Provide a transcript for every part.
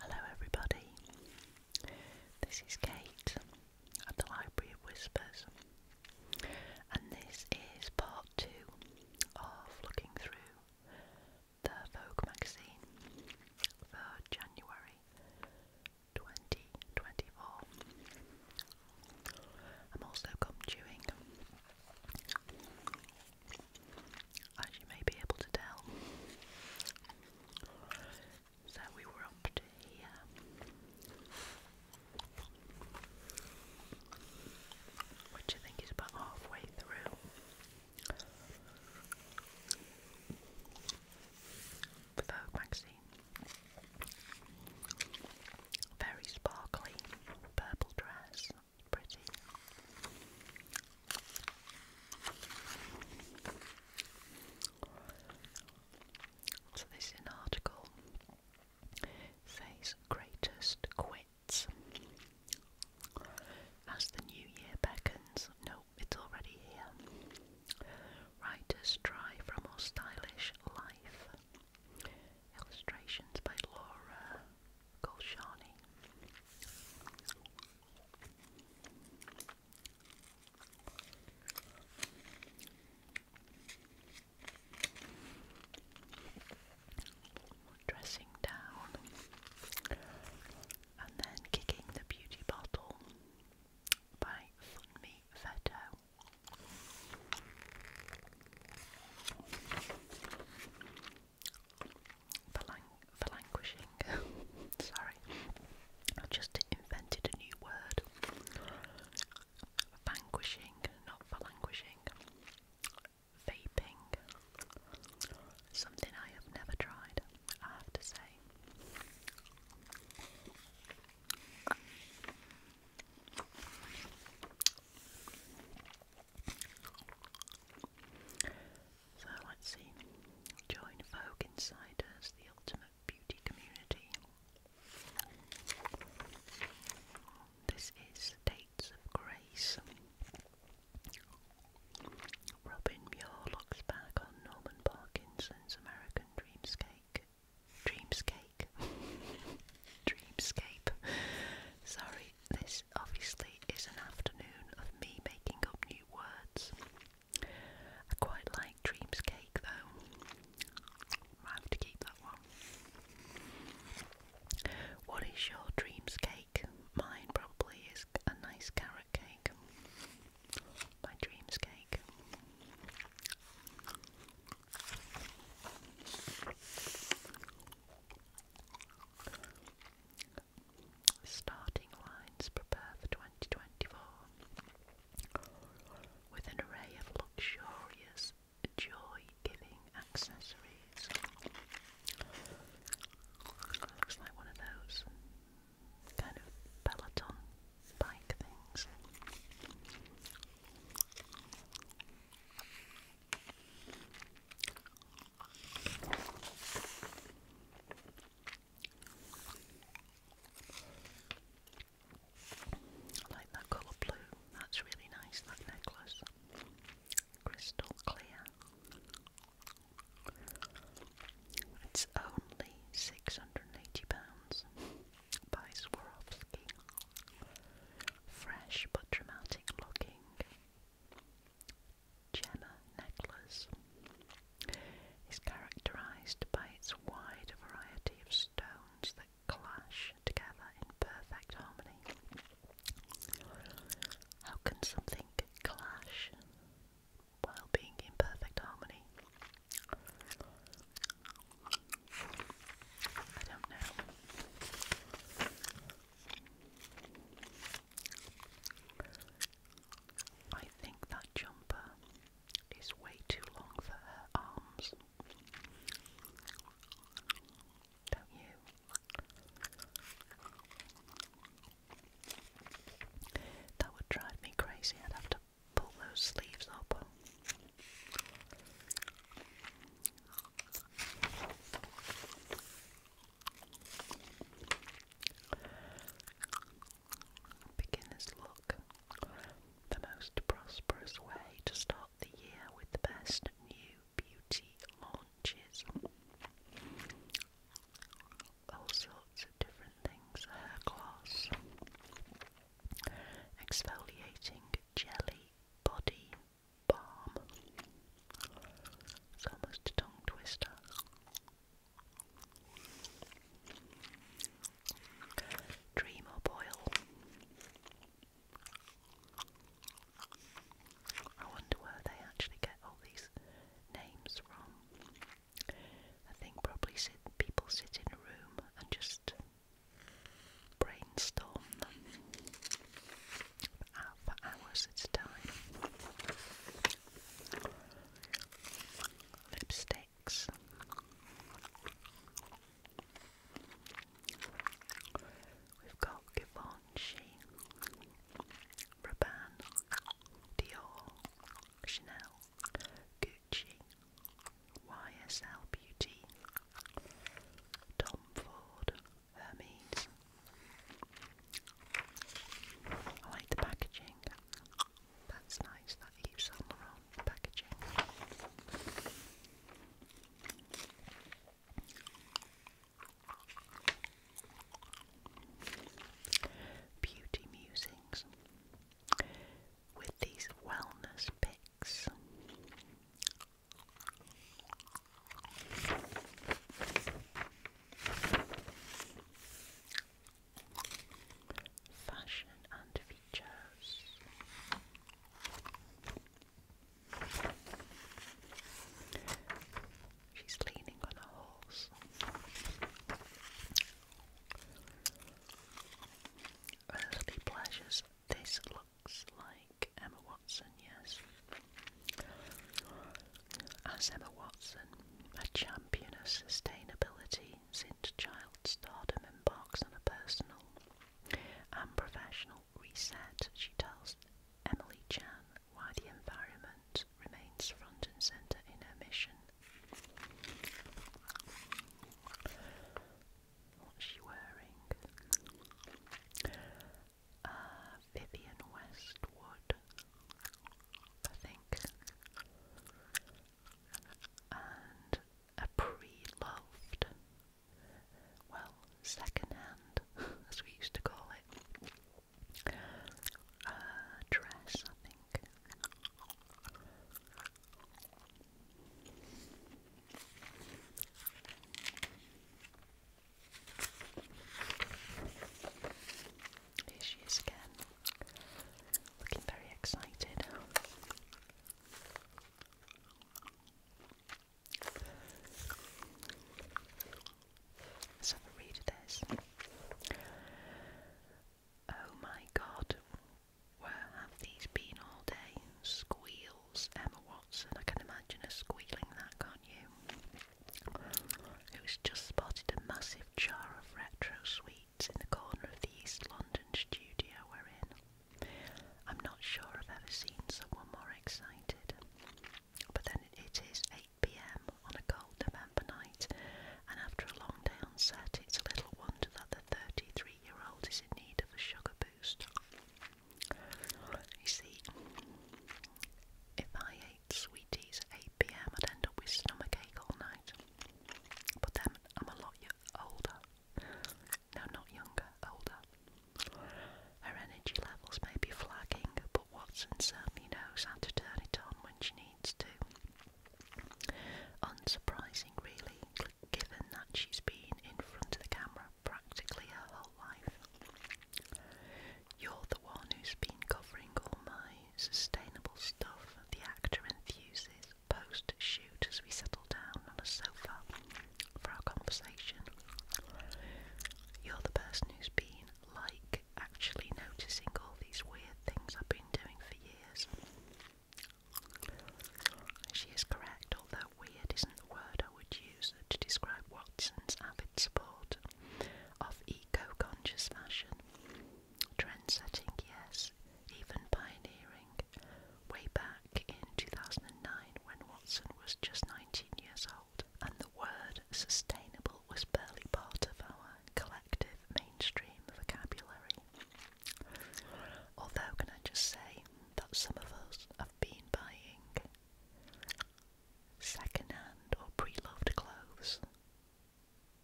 Hello, everybody. This is Kate at the Library of Whispers, and this is part two of looking through the Vogue magazine for January 2024. I'm also gum chewing, as you may be able to tell. So we were up to here. Which I think is about halfway through. Vogue magazine very sparkly purple dress, pretty. So this is an article. says greatest quits. As the new year beckons, no, it's already here. Writers try for a more stylish life. Illustrations by Laura Golshani. Dressing down and then kicking the beauty bottle by Funmi Veto. Phalang phalanguishing. Sorry, I just invented a new word. Vanquishing, not phalanguishing. Vaping. Something I have never tried, I have to say. So let's see. Join Vogue Insiders, the ultimate beauty community. This is States of Grace. Robin Muir looks back on Norman Parkinson's American Dreamscape Dreamscape. Dreamscape. Sorry, this obviously is an afternoon of me making up new words. I quite like Dreamscape though. Might have to keep that one. What is your dreams Mine probably is a nice carrot cake my dreams cake. Starting lines prepare for 2024 with an array of luxurious, joy giving accessories. Looks like one of those kind of peloton bike things. I like that colour blue, that's really nice, that necklace. Crystal clear. It's only £680 by Swarovski. Fresh but dramatic looking Jenna necklace is characterized by its wide variety of stones that clash together in perfect harmony. How can something clash? while being in perfect harmony. I don't know. I think that jumper is way too long for her arms. Don't you? That would drive me crazy. I'd have to pull those sleeves up. Beginner's look. The most prosperous way to start the year with the best new beauty launches all sorts of different things hair gloss, exfoliating jelly, body balm. It's almost a tongue twister. Dream up oil. I wonder where they actually get all these names from. I think probably people sit in a room and just brainstorm them for hours at a time. Lipsticks. We've got Givenchy, Raban, Dior, Chanel, Gucci. Gucci, YSL Beauty, Tom Ford, Hermes. I like the packaging. That's nice, that Yves Saint Laurent packaging. Beauty Musings with these wellness picks. Fashion and features. She's leaning on a horse. Earthly pleasures. This looks like Emma Watson, yes. As Emma Watson, a champion of sustainability since child stardom, box on a personal and professional reset, she tells Emily Chan why the environment remains front and centre in her mission. What's she wearing? Uh, Vivian Westwood, I think. And a pre-loved, well, second-hand, as we used to call it, uh, dress, I think. Here she is again, looking very excited. Let's have a read of this. Oh my god, where have these been all day? Squeals Emma Watson. I can imagine her squealing that, on you. you? was just spotted a massive jar of retro sweets in the corner of the East London studio we're in. I'm not sure I've ever seen someone more excited. But then it is 8pm on a cold day. Campanite, and after a long day on set, it's little wonder that the 33 year old is in need of a sugar boost. You see, if I ate sweeties at 8 pm, I'd end up with stomach ache all night. But then I'm a lot older. No, not younger, older. Her energy levels may be flagging, but Watson certainly um, knows how to turn it on when she needs to. Unsurprising, really, given that she's been in front of the camera practically her whole life. You're the one who's been covering all my sustainable stuff, the actor enthuses post shoot as we settle down on a sofa for our conversation. You're the person who's been like actually noticing all these weird things I've been doing for years. She is correct, although weird isn't the word I would use to describe Watson's avid support of eco-conscious fashion. Trend-setting, yes, even pioneering. Way back in 2009 when Watson was just 19 years old and the word sustainable was barely part of our collective mainstream vocabulary. Although, can I just say that some of us have been buying second-hand or pre-loved clothes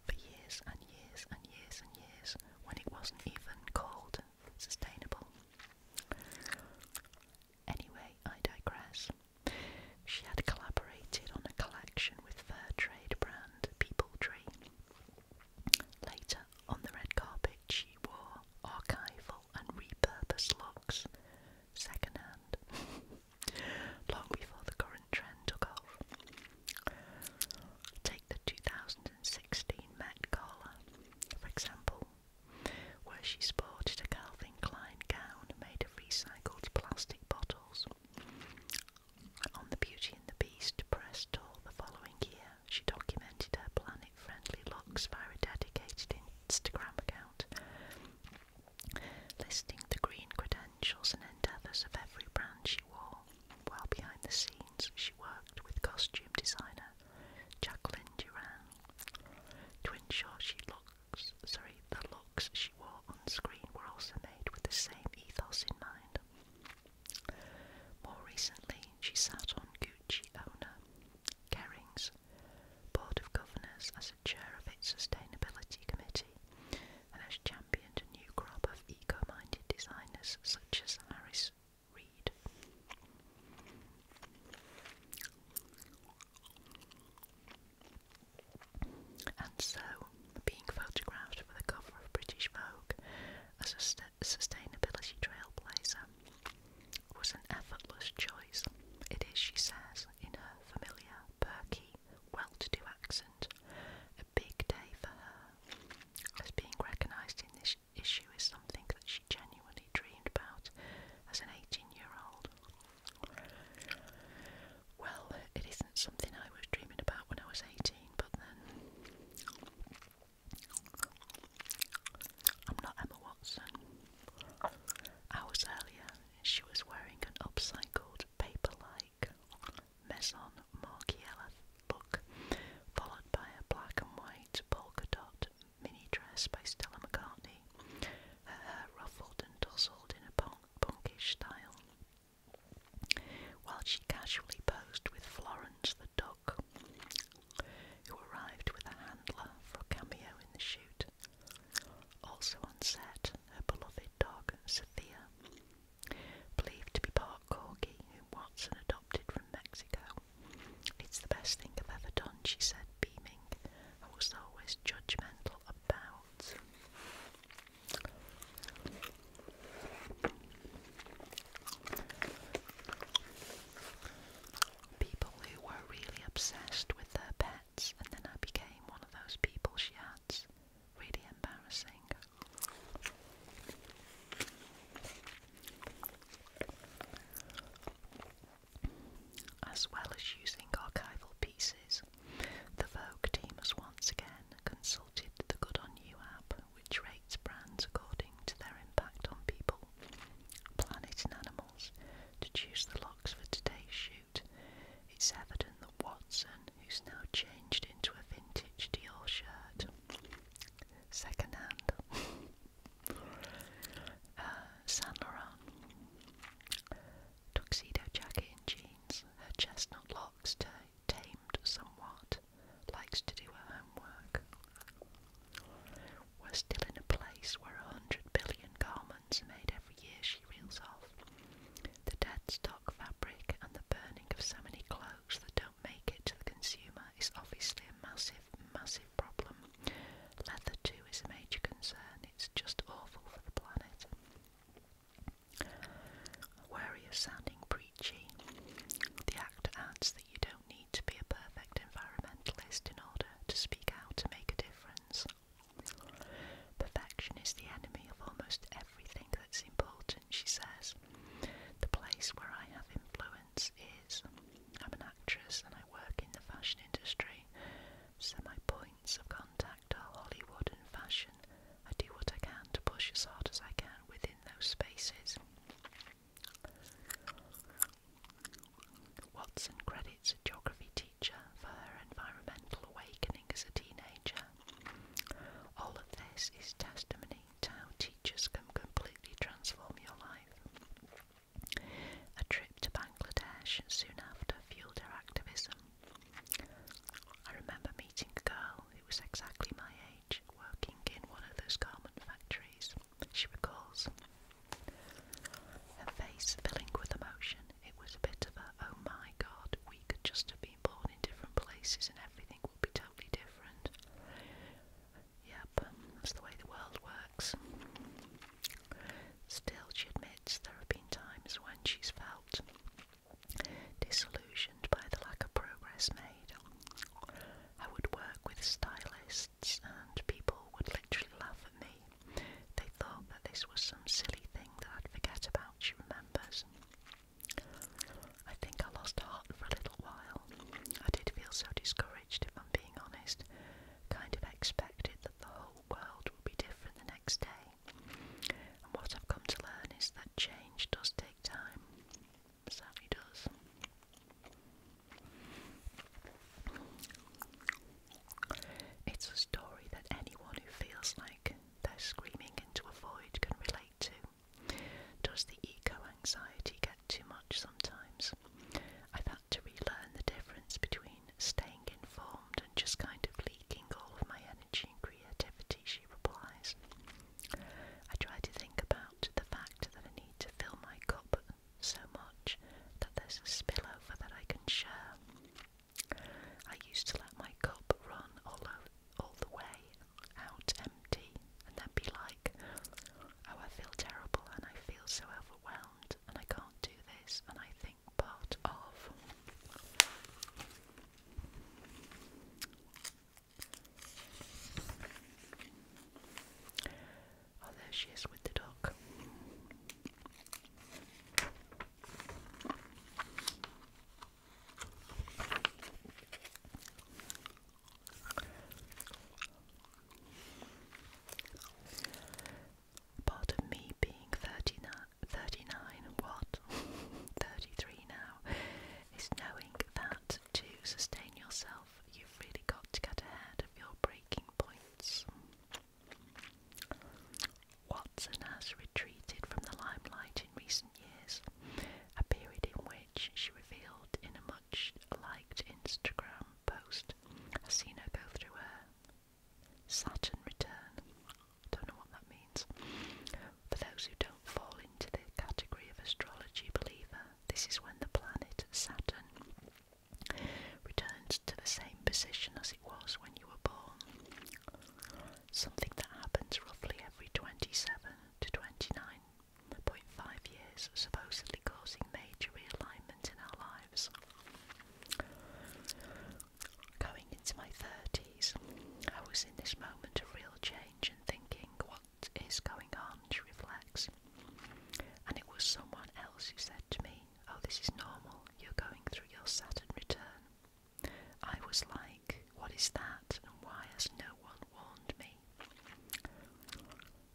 for years and years and years and years when it wasn't even called sustainable. Anyway, I digress. She had collaborated on a collection with fur trade brand People Tree. Later, on the red carpet, she wore archival and repurposed looks, secondhand, long before the current trend took off. Take the 2016 Met Gala, for example, where she sported a Calvin Klein gown made of recycled plastic bottles. On the Beauty and the Beast press tour the following year, she documented her planet-friendly looks via a dedicated Instagram account, listing the green credentials and endeavours of every brand she wore. While behind the scenes, she worked with costume designer Jacqueline Duran to ensure she looks sorry the looks she wore on screen were also made with the same ethos in mind. More recently, she sat on Gucci owner Kering's Board of Governors as chair of its sustainability committee and has championed a new crop of eco minded designers such as Harris Reed. And so, being photographed for the cover of British Vogue as a sustainability trailblazer was an effortless choice. It is, she says, in her familiar, perky, well-to-do accent, a big day for her, as being recognised in this issue is something that she genuinely dreamed about as an 18-year-old well, it isn't something I was dreaming about when I was 18, but then I'm not Emma Watson. Hours earlier, she was wearing an upcycled paper like Maison Margiela look, followed by a black and white polka dot mini dress by Stella McCartney, her hair ruffled and tousled in a punkish style while she casually posed with Florence the Duck, who arrived with a handler for a cameo in the shoot. Also on set, her beloved dog, Sophia, believed to be part corgi, whom Watson adopted from Mexico. It's the best thing I've ever done, she said, beaming. I was always judgmental about. People who were really obsessed with their pets, and then I became one of those people she had. Really embarrassing. As well as using archival pieces the Vogue team has once again consulted the Good On You app, which rates brands according to their impact on people, planet, and animals to choose the locks for today's shoot. It's evident that Watson, who's now changed into a vintage Dior shirt, second hand, uh, Saint Laurent, tuxedo jacket and jeans, her chestnut locks tamed somewhat, likes to do her homework. We're still in a place where a hundred billion garments are made every year, she reels off. The dead stock fabric and the burning of so many clothes that don't make it to the consumer is obviously a massive, massive problem. Leather, too, is a major concern. It's just awful for the planet. Wary of sounding preachy, the Act adds that you don't need to be a perfect environmentalist in order to speak out to make a difference. Perfection is the enemy of almost everything that's important, she says. The place where I have influence is I'm an actress and I work in the fashion industry, so my points of contact Hollywood and fashion, I do what I can to push as hard as I can within those spaces. Watson credits a geography teacher for her environmental awakening as a teenager. All of this is testimony to how teachers can completely transform your life. A trip to Bangladesh soon after fueled her activism, I remember meeting a girl who was exactly my age working in one of those garment factories, she recalls. Her face filling with emotion, it was a bit of a, oh my god, we could just have been born in different places and everything would be totally different. Yep, that's the way the world works. Still, she admitted there have been times when she's felt disillusioned by the lack of progress made. I would work with stylists and people would literally laugh at me. They thought that this was some silly thing that I'd forget about, Remember? remembers. I think I lost heart for a little while. I did feel so discouraged, if I'm being honest. Kind of expected that the whole world would be different the next day what I've come to learn is that change does take time. It does. It's a story that anyone who feels like they're screaming into a void can relate to. Does the eco anxiety get too much sometimes? I've had to relearn the difference between online, staying informed, and just kind of leaking all of my energy and creativity, she replies. I try to think about the fact that I need to fill my cup so much that there's a spillover that I can share. I used to let my cup run all, over, all the way out empty and then be like, oh, I feel terrible and I feel so overwhelmed and I can't do this and I part of. Oh, there she is with the dog part of me being 39, what? 33 now, is knowing that to sustain yourself, you've really got to get ahead of your breaking points. Watson has retreated from the limelight in recent years, a period in which she revealed in a much liked Instagram post "I've seen her go through her Saturn return. don't know what that means. For those who don't fall into the category of astrology believer, this is when the planet Saturn returns to the same position as it was when you were born. Something that happens roughly every 27 to 29.5 years, supposedly causing major realignment in our lives. Going into my 30s, I was in this moment of real change and thinking, what is going on? To reflect, And it was someone else who said to me, Oh, this is normal, you're going through your Saturn return. I was like, What is that, and why has no one warned me?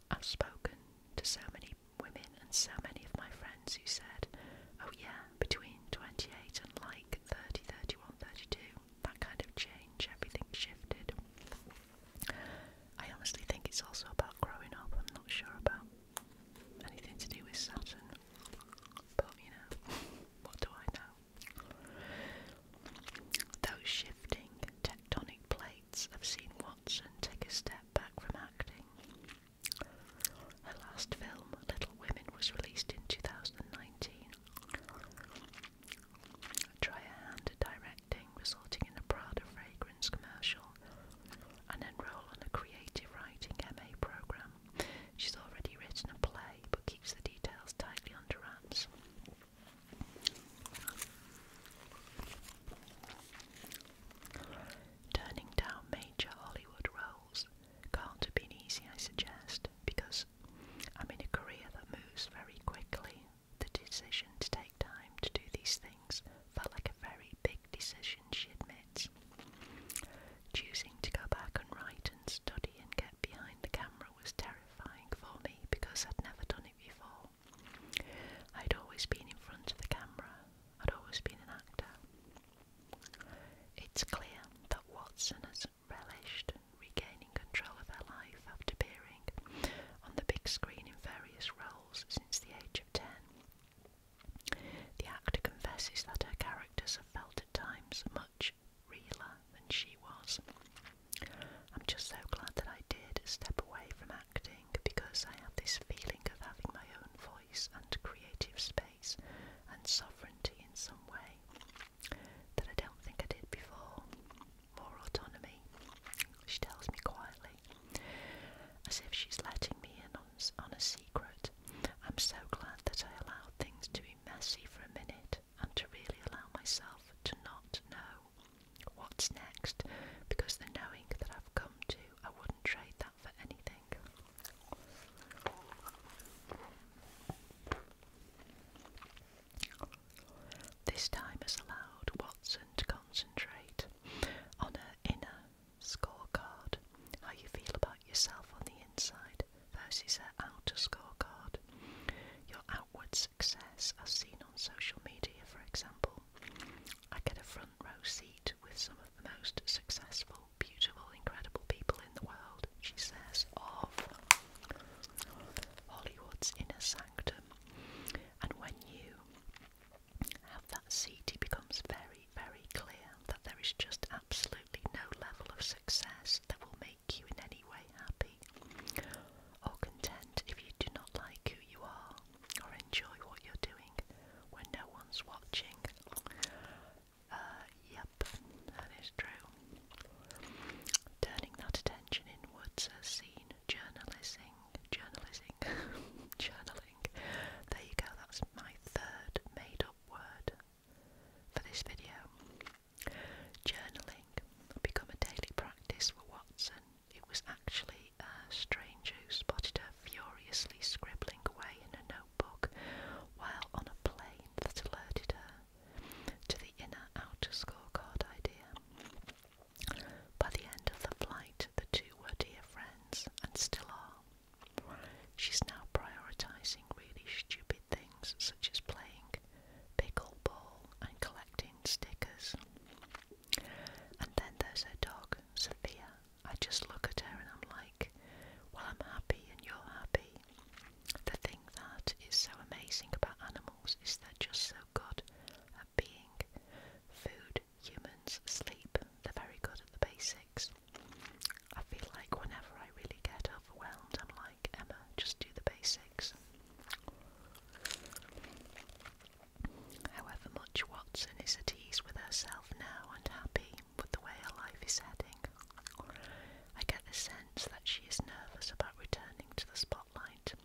I've spoken to so many women and so many of my friends who said, oh yeah, between 28 and like 30, that kind of change, everything shifted. I honestly think it's also about growing up, I'm not sure about anything to do with Saturn, but you know, what do I know? Those shifting tectonic plates have seen Watson take a step back from acting. Her last film, Little Women, was released in 2019. Try a hand at directing, resulting in a Prada fragrance commercial, and enroll on a creative writing MA program. She's already written a play, but keeps the details tightly under wraps. Turning down major Hollywood roles can't have been easy, I suggest, because I'm in a career that moves very quickly. The decision to take time to do these things felt like a very big decision, she admits. Choosing to go back and write and study and get behind the camera was terrifying for me because I'd never done it before. I'd always been in front of the camera, had always been an actor. It's clear that Watson has relished regaining control of her life after appearing on the big screen in various roles since the age of 10. The actor confesses that her characters have felt at times much realer than she was. I'm just so glad that I did step away from acting because I have this feeling of having my own voice and creative space and sovereignty in some way that I don't think I did before. More autonomy, she tells me quietly, as if she's letting me in on, a secret. I'm so glad that I allowed things to be messy for a minute and to really allow myself to not know what's next because the knowing that I've come to I would not trade that for anything. This time has allowed Watson to concentrate on her inner scorecard, how you feel about yourself on the inside versus her outer scorecard. Your outward success, as seen on social media, for example. I get a front row seat with some the most successful, beautiful, incredible people in the world, she says, of Hollywood's inner sanctum. And when you have that seat, it becomes very, very clear that there is just absolutely no level of success that will make you in any way happy or content if you do not like who you are or enjoy what you're doing when no one's watching. Uh, yep, that is true. Turning that attention inwards as seen, journalising, journalising, journaling. There you go, that's my third made up word for this video. Journaling become a daily practice for Watson. It was actually a stranger who spotted her furiously scribbling away in a notebook while on a plane that alerted her to the inner outer scorecard idea. By the end of the flight, the two were dear friends and still are. She's now prioritizing really stupid things such as playing pickleball and collecting stickers. And then there's her dog, Sophia. I just look at her and I'm like, well, I'm happy and you're happy. The thing that is so amazing about animals is they're just so good at being food, humans, sleep. They're very good at the basics. I feel like whenever I really get overwhelmed, I'm like, Emma, just do the basics. However much Watson is at ease with herself now and happy with the way her life is heading, I get the sense that she is nervous about returning to the spotlight.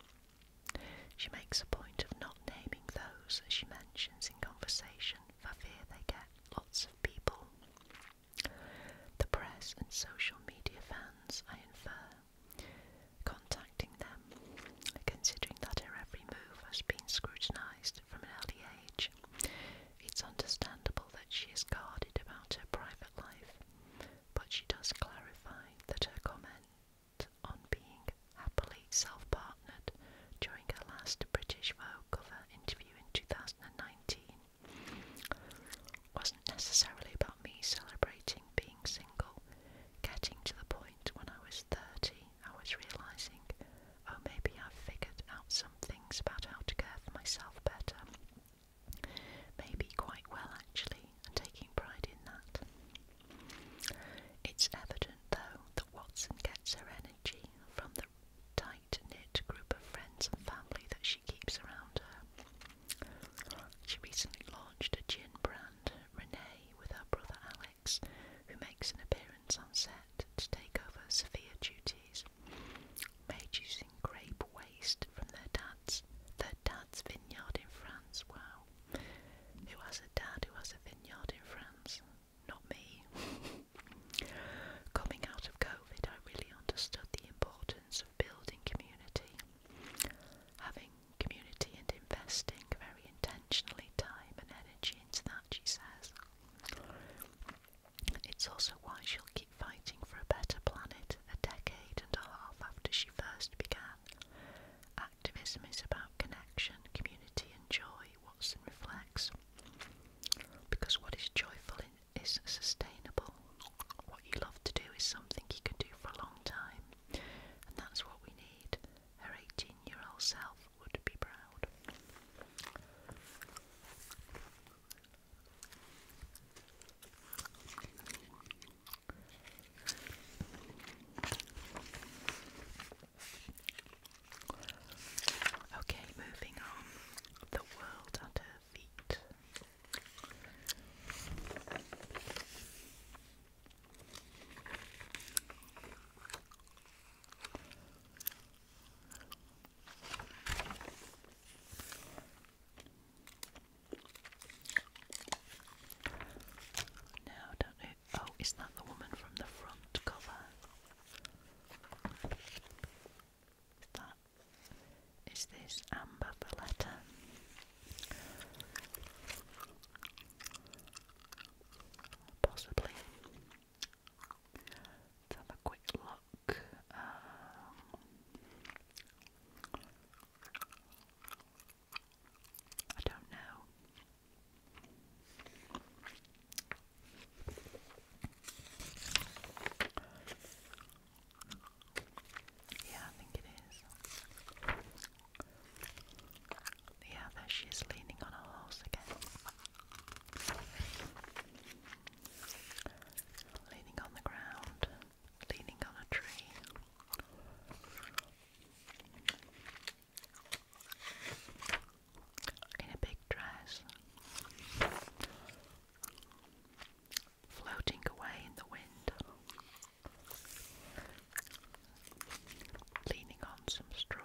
She makes a point of not naming those she mentions in conversation for fear they get lots of people. The press and social media fans, I infer, contacting them Considering that her every move has been scrutinized from an early age, it's understandable that she is guarded about her private life, but she does clarify that her comment on being happily self partnered during her last British Vogue cover interview in 2019 wasn't necessarily about me celebrating being single, getting to the point when I was 30 I was realizing, oh, maybe I've figured out some things about how to care for myself better. Maybe quite well, actually, and taking pride in that. It's evident, though, that Watson gets her energy from the tight knit group of friends and family that she keeps around her. She recently launched a gin brand, Renee, with her brother Alex who makes an appearance on set to take over severe duties, made using grape waste from their dad's their dad's vineyard in France. Wow. Who has a dad who has a vineyard in France? Not me. Coming out of COVID, I really understood the importance of building community. Having community and investing very intentionally time and energy into that, she says. It's also why she'll keep fighting for a better planet a decade and a half after she first began. Activism is about connection, community, and joy, Watson reflects. Because what is joyful is sustainable. What you love to do is something you can do for a long time, and that's what we need. Her 18 year old self would be proud. Okay, moving on. The world at her feet. Now, don't Oh, is that the woman from the front cover? Is that? Is this Amber Valletta? possibly. have a quick look. Um, I don't know. Yeah, I think it is. Yeah, there she is leaning on a horse again. Leaning on the ground, leaning on a tree. In a big dress. Floating away in the wind leaning on some straw.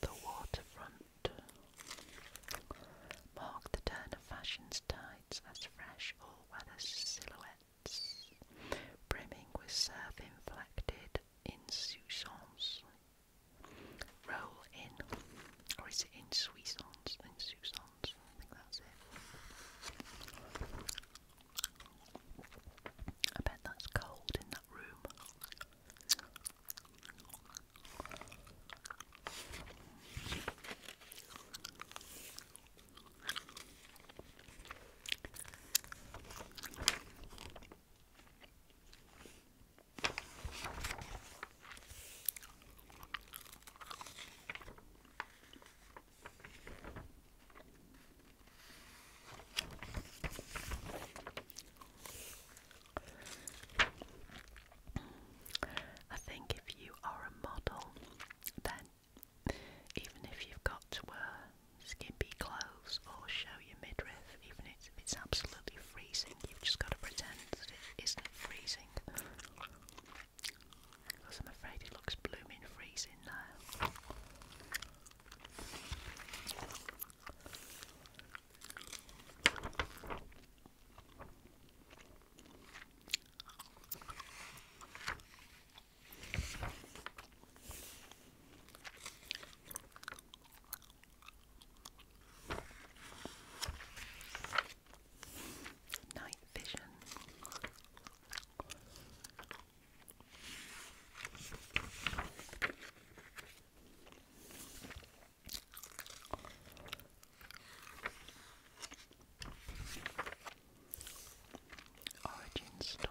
The waterfront marked the turn of fashion's tides as fresh all-weather silhouettes, brimming with surf-inflected insouciance, roll in, or is it insouciance? Insouciance, I think that's it. I bet that's cold in that room. I think if you are a model, then even if you've got skimpy clothes or show your midriff, even if it's absolutely freezing, you've just got to pretend that it isn't freezing. I'm afraid it looks blooming freezing now. Night vision. Origin story.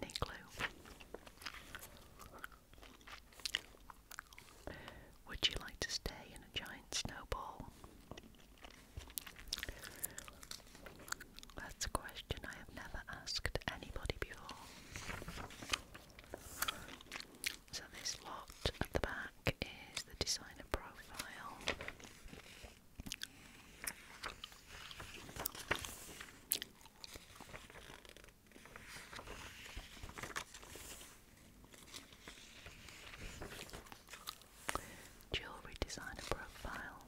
Any clue? Would you like to stay in a giant snowball? That's a question I have never asked anybody before. So, this lot at the back is the designer profile. Jewelry designer profile.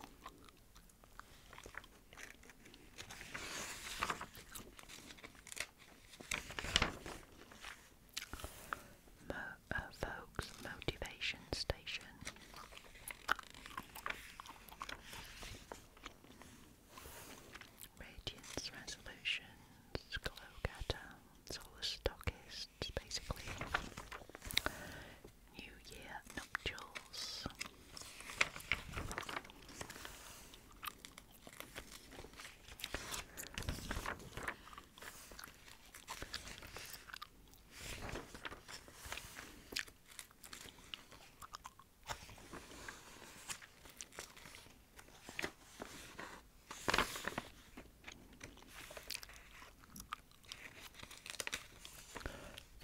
Uh, folks motivation station. Radiance resolutions, glow getter, it's basically. New Year Nuptials.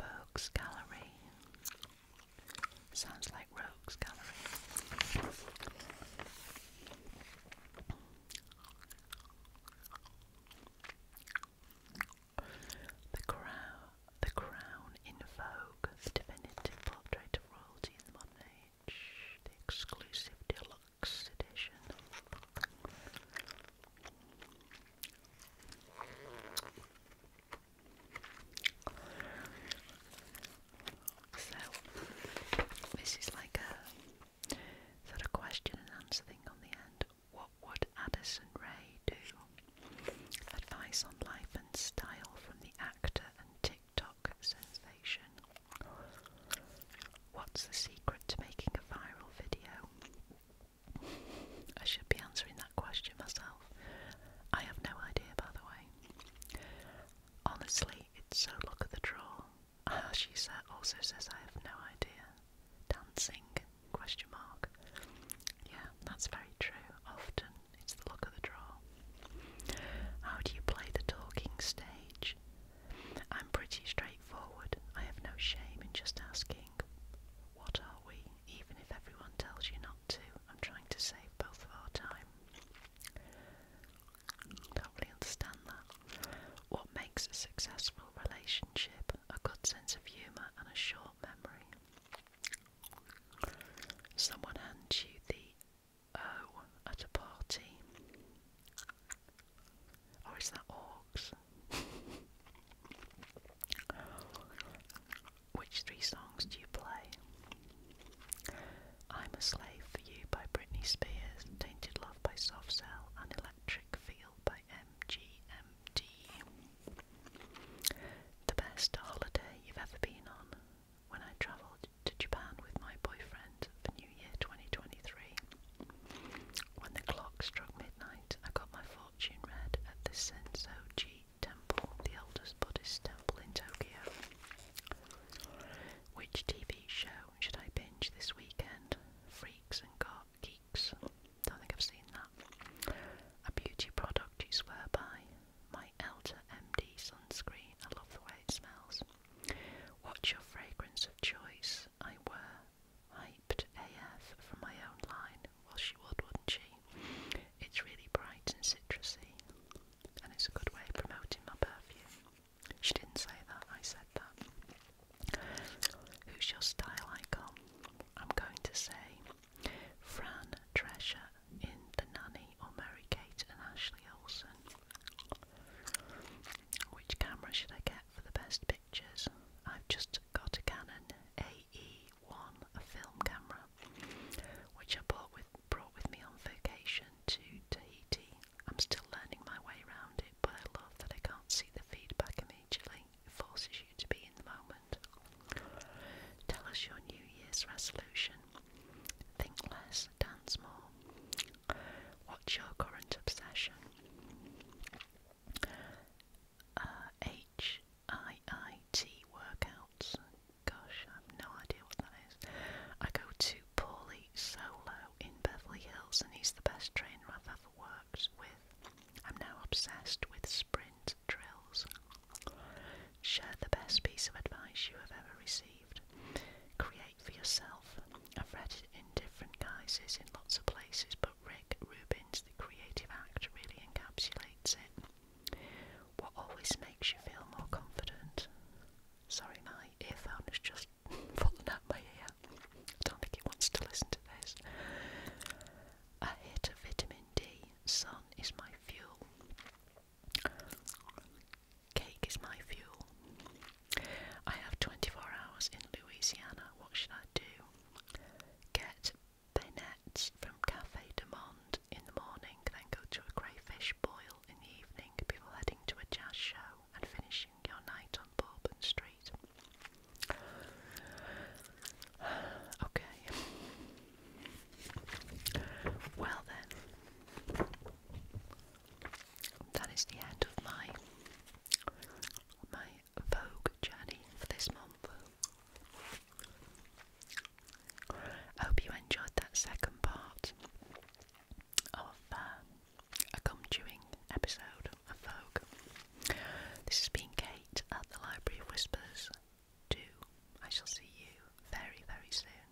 Rogues Gallery. Sounds like Rogues Gallery. The crown, the crown in the definitive portrait of royalty in the modern age, the exclusive deluxe edition. So, this is like a sort of question and answer thing on the end. What would Addison Ray do? Advice on life and style from the actor and TikTok sensation. What's the secret to making a viral video? I should be answering that question myself. I have no idea, by the way. Honestly, it's so look at the draw. Uh, she sa also says, I have no idea. Dancing? Question mark. Yeah, that's very true. Often it's the look of the draw. How do you play the talking stage? I'm pretty straightforward. I have no shame in just asking, What are we? even if everyone tells you not to. I'm trying to save both of our time. Don't really understand that. What makes a successful relationship? A good sense of humour and a short memory. Someone hands you the O at a party. Or is that orcs? Which three songs do you play? I'm a Slave for You by Britney Spears, Tainted Love by Soft Cell, and Electric Feel by MGMT. The best holiday you've ever been on? When I travelled to Japan with my boyfriend for New Year 2023. When the clock struck midnight, I got my phone fortune red at the Sensoji Temple, the oldest Buddhist temple in Tokyo. Which TV show should I binge this weekend? Freaks and Got Geeks. Don't think I've seen that. A beauty product you swear by. My Elder MD sunscreen. I love the way it smells. What's your fragrance of choice? I wear hyped AF from my own line. Well, she would, wouldn't she? It's really bright and citrusy, and it's a good way promoting my perfume. She didn't say that, I said that. Who's your style icon? I'm going to say Fran Treasure in The Nanny or Mary Kate and Ashley Olsen. Which camera should I get for the best picture? I've just got a Canon AE1, a film camera, which I bought with, brought with me on vacation to Tahiti. I'm still learning my way around it, but I love that I can't see the feedback immediately. It forces you to be in the moment. Tell us your New Year's resolution. Think less, dance more. What's your current obsession? Uh, HIIT workouts. Gosh, I have no idea what that is. I go to Paulie Solo in Beverly Hills, and he's the best trainer I've ever worked with. I'm now obsessed with sprint drills. Share the best piece of advice you have ever received. Create for yourself. I've read it in different guises in lots of places, but but Rick Rubin's The Creative Act really encapsulates it. What always makes you feel more confident? Sorry, my earphone has just fallen out my ear. I don't think it wants to listen to this. A hit of vitamin D, sun is my fuel. Cake is my fuel. I have 24 hours in Louisiana. What should I do? Get beignets from Cafe de in the morning, then go to a crayfish boil in the evening before heading to a jazz show and finishing your night on Bourbon Street. Okay. Well then, that is the end of my my Vogue journey for this month. I hope you enjoyed that second part of uh, a gum chewing episode of Vogue. This has been Kate at the Library of Whispers 2. I shall see you very, very soon.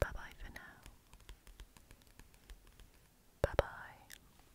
Bye bye for now. Bye bye.